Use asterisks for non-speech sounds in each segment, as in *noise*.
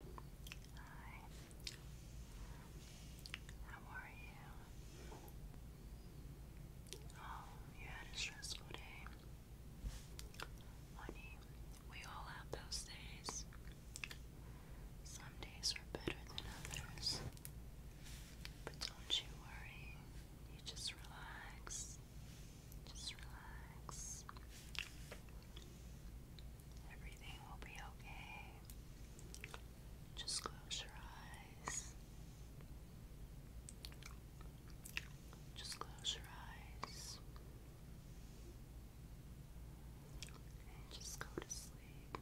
Hi. How are you? Oh, you had a stressful day. Honey, we all have those days. Some days are better than others. But don't you worry. You just relax. Just relax. Everything will be okay. Just close your eyes. Just close your eyes. just go to sleep.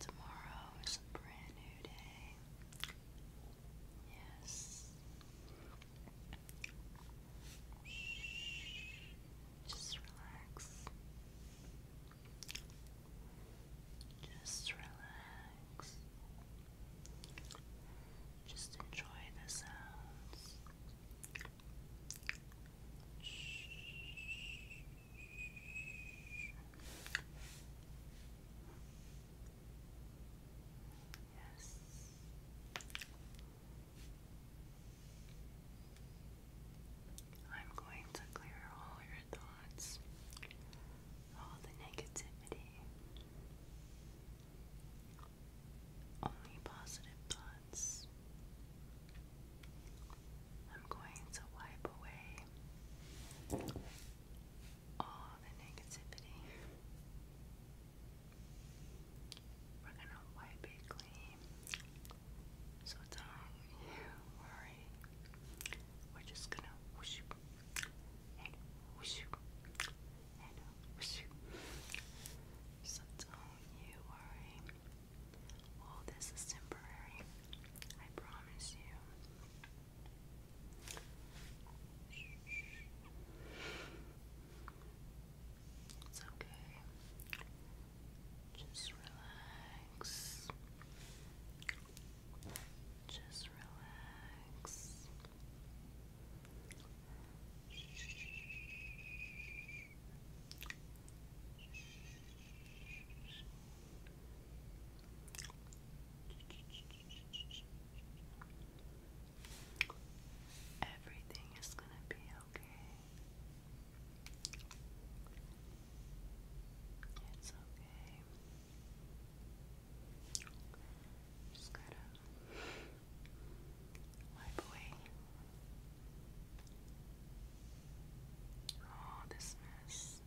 Tomorrow is a brand new day. Yes. Just relax. Just relax. Just enjoy the sounds. Just Yes. I'm going to clear all your thoughts, all the negativity, only positive thoughts. I'm going to wipe away all the negativity. We're gonna wipe it clean. So don't you worry. We're just gonna whoosh and whoosh and whoosh. So don't you worry. All this is temporary. I promise you okay. Just relax. Just relax. Everything is going to be okay. It's okay. Just gotta wipe away all this mess.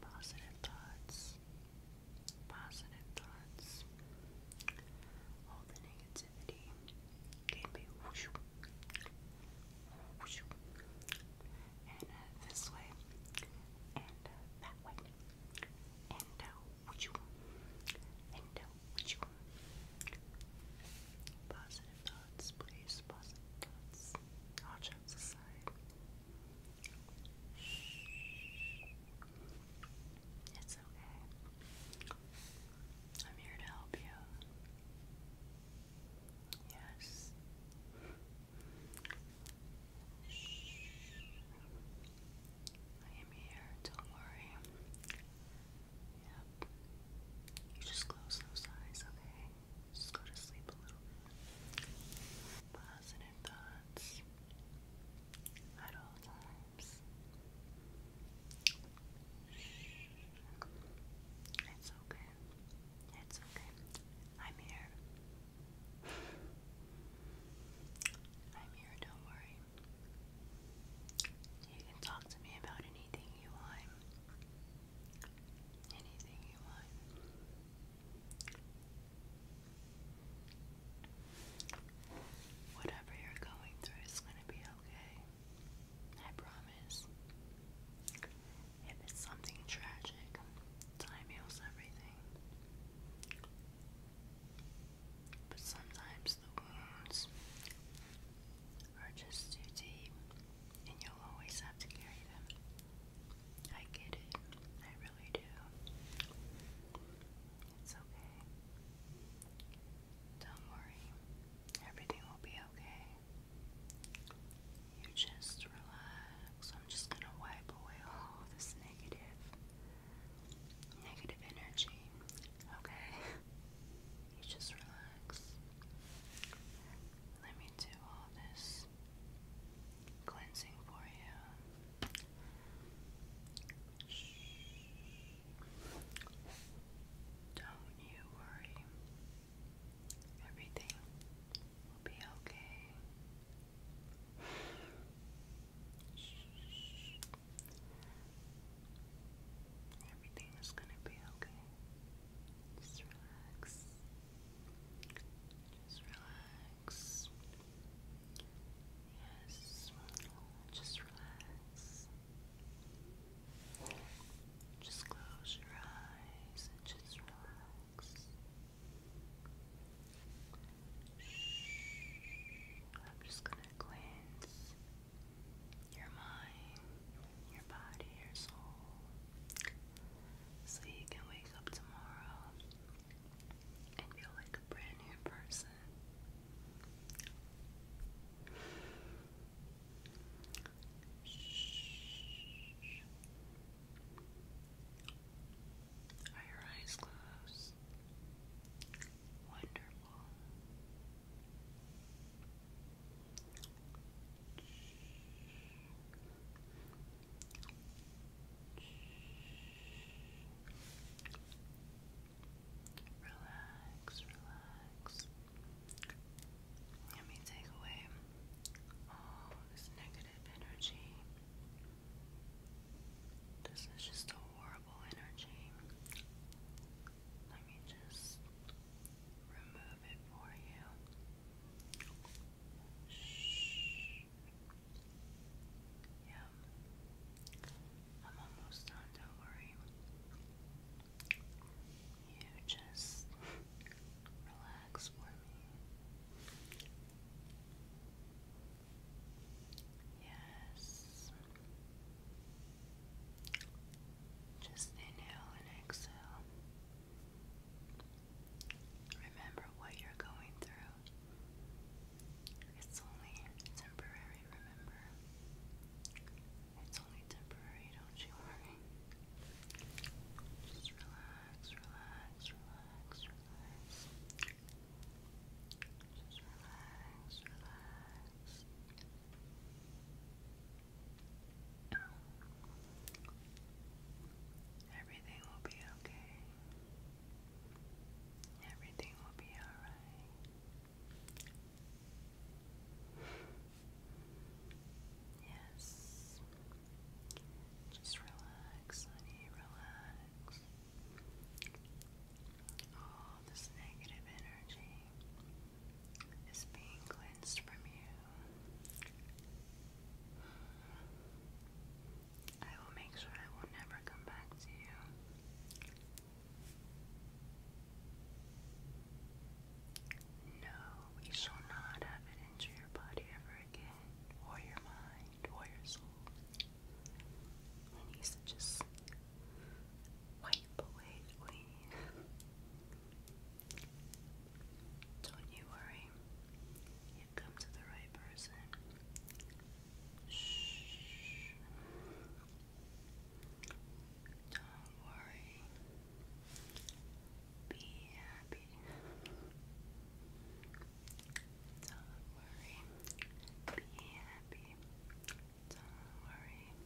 Positive thoughts. Positive thoughts. All the negativity uh, this way, and uh, that way, and uh, Positive thoughts, please. Positive thoughts. All jokes aside. It's okay. I'm here to help you. Yes. I am here, don't worry. Yep. You just close those eyes, okay? Just go to sleep a little bit. Positive thoughts at all times. It's okay. It's okay. I'm here. I'm here, don't worry. You can talk to me about anything you want. Whatever you're going through is going to be okay. I promise. If it's something tragic, time heals everything. But sometimes the wounds are just too deep, and you'll always have to carry them. I get it. I really do. It's okay. Don't worry. Everything will be okay. You just relax. I'm just going to wipe away all this negative negative energy Okay. You just relax. Let me do all this cleansing for you. Don't you worry. Everything will be okay. Shh. Everything is gonna be okay. Just relax. Just relax. Yes, just relax. Just close your eyes and just relax. I'm just gonna cleanse your mind, your body, your soul, so you can wake up tomorrow and feel like a brand new person. Are your eyes closed? Wonderful. Relax, relax. Let me take away all this negative energy. This is just a horrible energy. Let me just remove it for you. Shh. Yeah. I'm almost done, don't worry. You just relax for me. Yes. Just inhale and exhale. Remember what you're going through. It's only temporary, remember? It's only temporary, don't you worry. Just relax, relax, relax, just relax, relax. Everything will be okay. Everything will be alright. Yes. Just relax, honey, relax. All this negative energy is being cleansed from you. I will make sure I will never come back to you. No, we shall not have it injure your body ever again, or your mind, or your soul. He needs to just wipe away Don't you worry. You've come to the right person. Shh. Don't worry. Be happy. Don't worry. Be happy. Don't worry.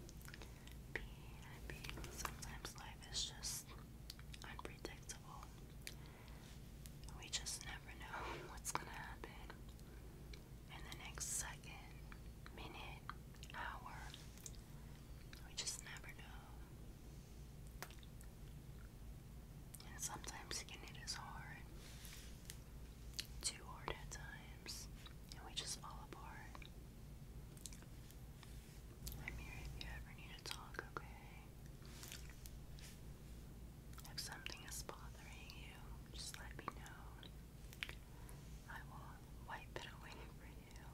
Be happy. Sometimes life is just unpredictable. We just never know *laughs* what's gonna happen in the next second, minute, hour. We just never know. And sometimes getting it is hard. Too hard at times. And we just fall apart. I'm here if you ever need to talk, okay? If something is bothering you, just let me know. I will wipe it away *laughs* for you.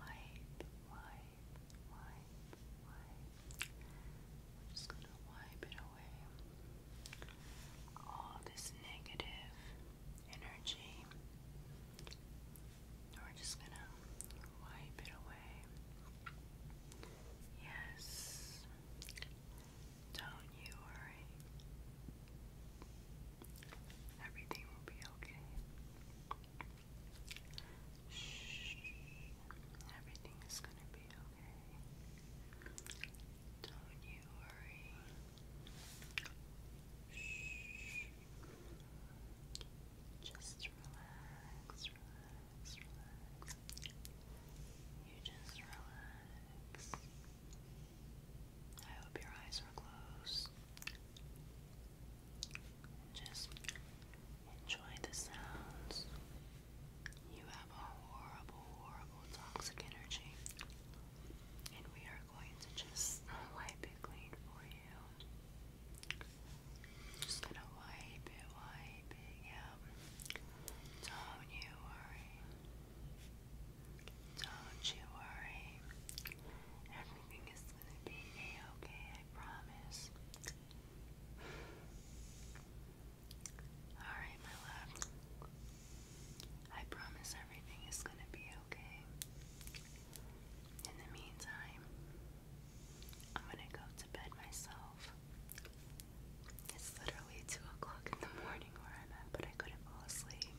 Wipe, wipe. We're just gonna wipe it away. All this negative energy. We're just gonna wipe it away. Yes. Don't you worry. Everything will be okay. Shh. Everything is going to be okay. Don't you worry. Just relax, relax, relax. You just relax. I hope your eyes are closed. Just enjoy the sounds. You have a horrible, horrible toxic energy, and we are going to just wipe it clean for you. Just gonna wipe it, wipe it, yeah. Don't you worry. Don't you worry. Everything is gonna be okay I promise. Alright, my love. I promise everything is gonna be okay. In the meantime, I'm gonna go to bed myself. It's literally 2 o'clock in the morning where I'm at, but I couldn't fall asleep.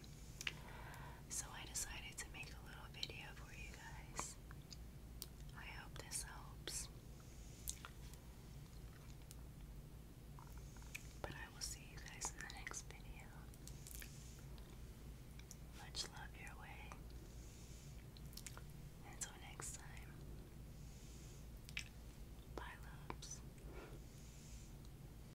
So I decided to make a little video for you guys. I hope this helps. But I will see you guys in the next video. Much love your way. Until next time. Bye, loves.